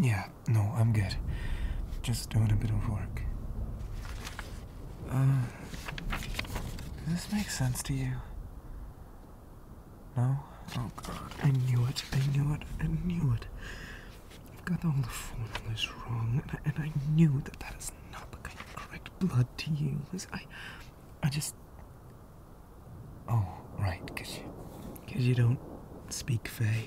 Yeah, no, I'm good. Just doing a bit of work. Uh, does this make sense to you? No? Oh god, I knew it, I knew it, I knew it. i have got all the formulas wrong, and I, and I knew that that is not the kind of correct blood to use. I, I just... Oh, right, because you, don't speak Fey.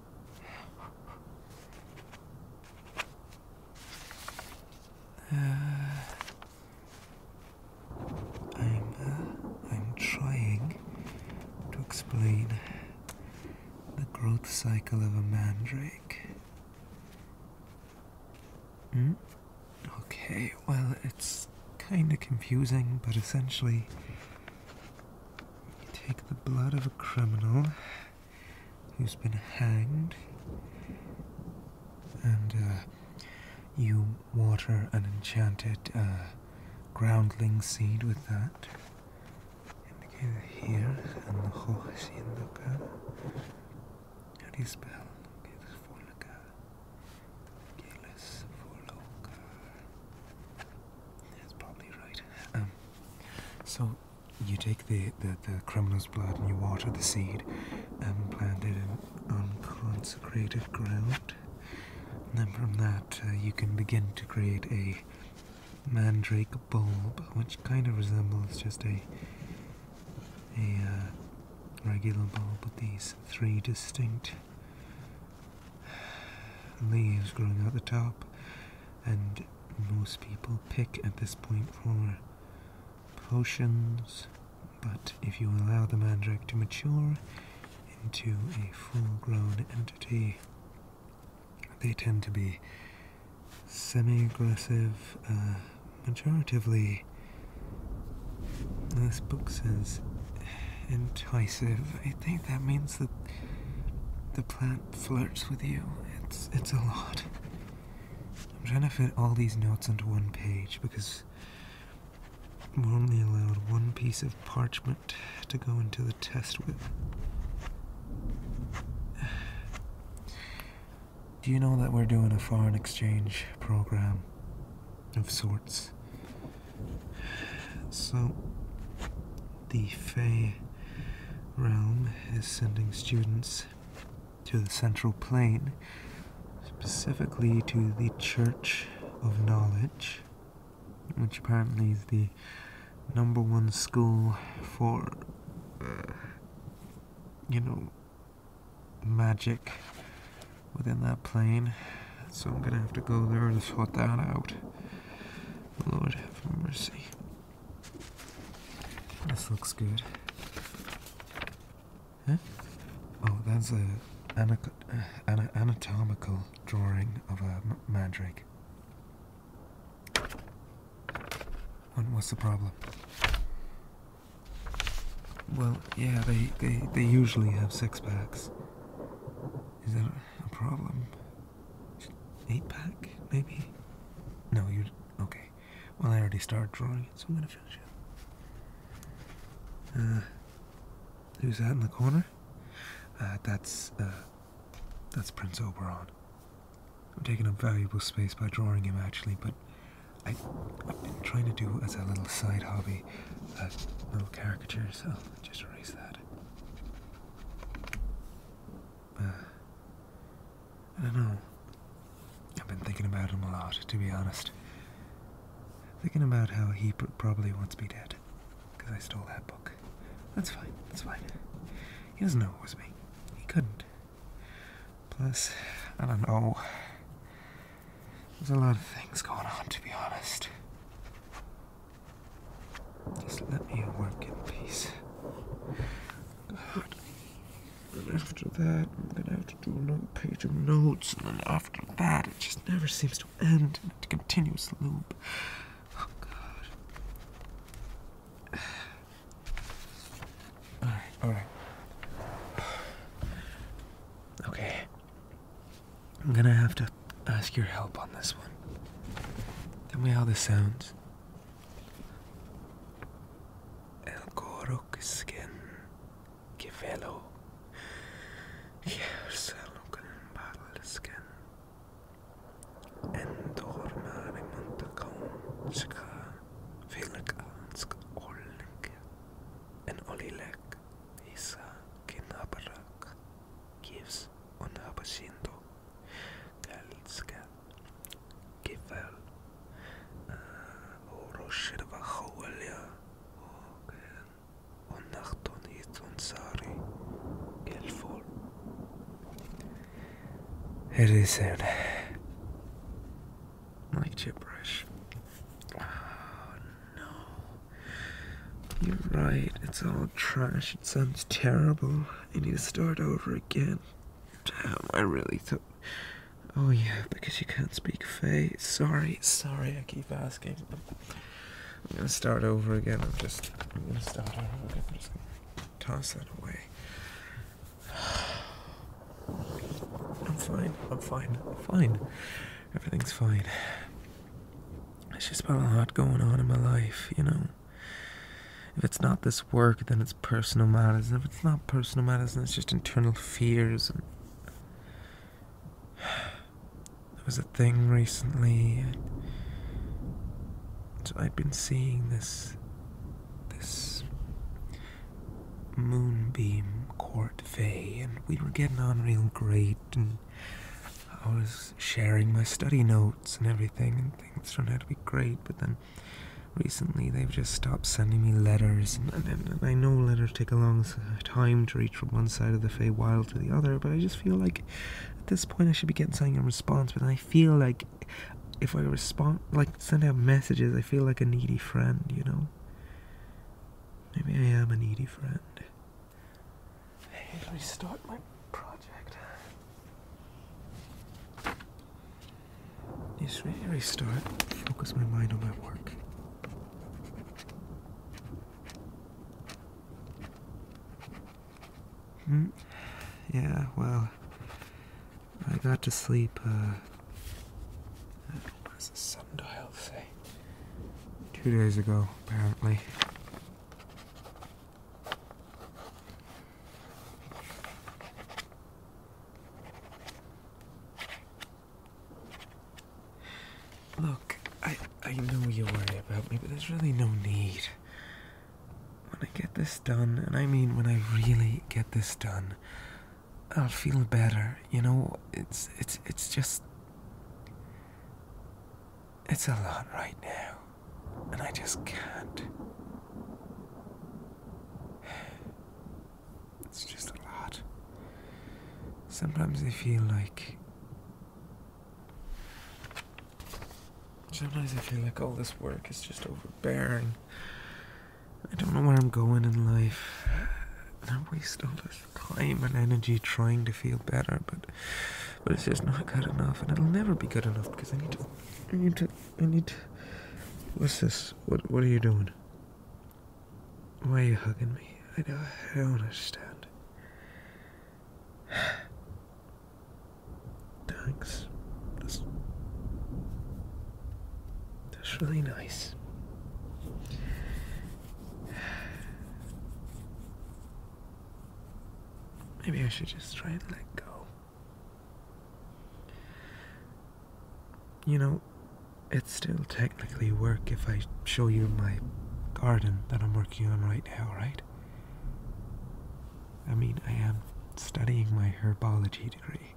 Uh, I'm uh, I'm trying to explain the growth cycle of a mandrake. Hmm? Okay, well, it's kind of confusing, but essentially, you take the blood of a criminal who's been hanged, and uh, you water an enchanted uh, groundling seed with that. Indicated here, and the Hohasindoka. How do you spell? That's probably right. Um, so you take the, the, the criminal's blood and you water the seed and plant it in unconsecrated ground. then from that, uh, you can begin to create a mandrake bulb, which kind of resembles just a a uh, regular bulb with these three distinct leaves growing out the top and most people pick at this point for potions, but if you allow the mandrake to mature into a full grown entity, they tend to be semi aggressive, uh, majoritively, this book says, entice. I think that means that the plant flirts with you. It's it's a lot. I'm trying to fit all these notes into one page because we're only allowed one piece of parchment to go into the test with. Do you know that we're doing a foreign exchange program of sorts? So, the Fey realm is sending students to the Central Plain, specifically to the Church of Knowledge, which apparently is the number one school for, uh, you know, magic within that plane. So I'm gonna have to go there and sort that out. Lord have mercy. This looks good. Oh, that's a an uh, anatomical drawing of a mandrake. what's the problem? Well, yeah, they, they, they usually have six packs. Is that a problem? eight pack, maybe? No, you okay. Well, I already started drawing it, so I'm gonna finish it. Uh, who's that in the corner? Uh, that's uh, that's Prince Oberon. I'm taking up valuable space by drawing him, actually, but I, I've been trying to do as a little side hobby, a little caricature, so just erase that. Uh, I don't know. I've been thinking about him a lot, to be honest. Thinking about how he probably wants me dead, because I stole that book. That's fine, that's fine. He doesn't know it was me. He couldn't. Plus, I don't know. There's a lot of things going on, to be honest. Just let me work in peace. God. And after that, I'm gonna have to do another page of notes, and then after that, it just never seems to end. It's a continuous loop. Oh, God. Alright, alright. Okay. I'm gonna have to ask your help on this one. Tell me how this sounds. El coro que skin que velo Hierselo con un barrel de skin Endormare montaconska Vilkansk olnik En olilek Isa kinabarak Gives unabasinto it is said, my gibberish. Oh no. You're right, it's all trash, it sounds terrible. I need to start over again. Damn, I really thought. Oh, yeah, because you can't speak Fae. Sorry, sorry, I keep asking. I'm gonna start over again. I'm just. I'm gonna start over again. I'm just gonna toss that away. I'm fine, I'm fine, I'm fine. Everything's fine. It's just about a lot going on in my life, you know. If it's not this work, then it's personal matters. if it's not personal matters, then it's just internal fears. And there was a thing recently. So I've been seeing this this moonbeam court fay, and we were getting on real great, and I was sharing my study notes and everything, and things turned out to be great. But then recently they've just stopped sending me letters, and, and I know letters take a long time to reach from one side of the Feywild to the other, but I just feel like at this point I should be getting something in response, but I feel like if I respond, like send out messages, I feel like a needy friend, you know? Maybe I am a needy friend and restart my project. need Just restart, focus my mind on my work. Mm. Yeah, well, I got to sleep, uh, what does the sundial say? Two days ago, apparently. Look, I, I know you worry about me, but there's really no need. When I get this done, and I mean when I really get this done, I'll feel better. You know, it's it's it's just it's a lot right now, and I just can't. It's just a lot. Sometimes I feel like. Sometimes I feel like all this work is just overbearing. I don't know where I'm going in life. And I waste all this time and energy trying to feel better, but but it's just not good enough, and it'll never be good enough because I need to. I need to. I need to. What's this? What What are you doing? Why are you hugging me? I don't. I don't understand. Thanks. That's. That's really nice. Maybe I should just try and let go. You know, it's still technically work if I show you my garden that I'm working on right now, right? I mean, I am studying my herbology degree,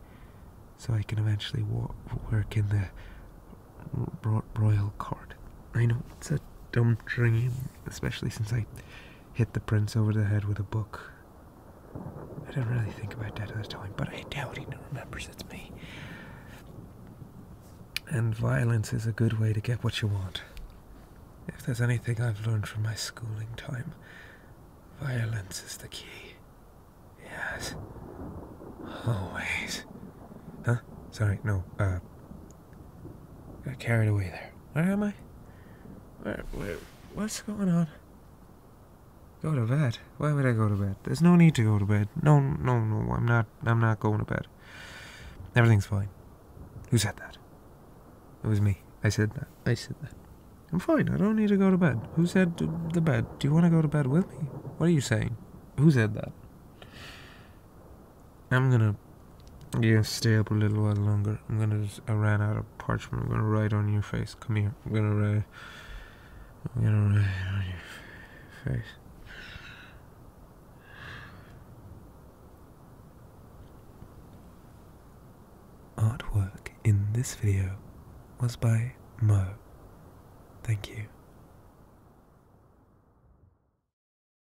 so I can eventually work in the royal court. I know it's a dumb dream, especially since I hit the prince over the head with a book. I didn't really think about that at the time, but I doubt he remembers it's me. And violence is a good way to get what you want. If there's anything I've learned from my schooling time, violence is the key. Yes. Always. Huh? Sorry, no, uh, Got carried away there. Where am I? Where, what's going on? Go to bed. Why would I go to bed? There's no need to go to bed. No, no, no. I'm not. I'm not going to bed. Everything's fine. Who said that? It was me. I said that. I said that. I'm fine. I don't need to go to bed. Who said the bed? Do you want to go to bed with me? What are you saying? Who said that? I'm gonna yeah, stay up a little while longer. I'm gonna just, I ran out of parchment. I'm gonna write on your face. Come here. I'm gonna write. I'm gonna write on your face. Artwork in this video was by Mo. Thank you.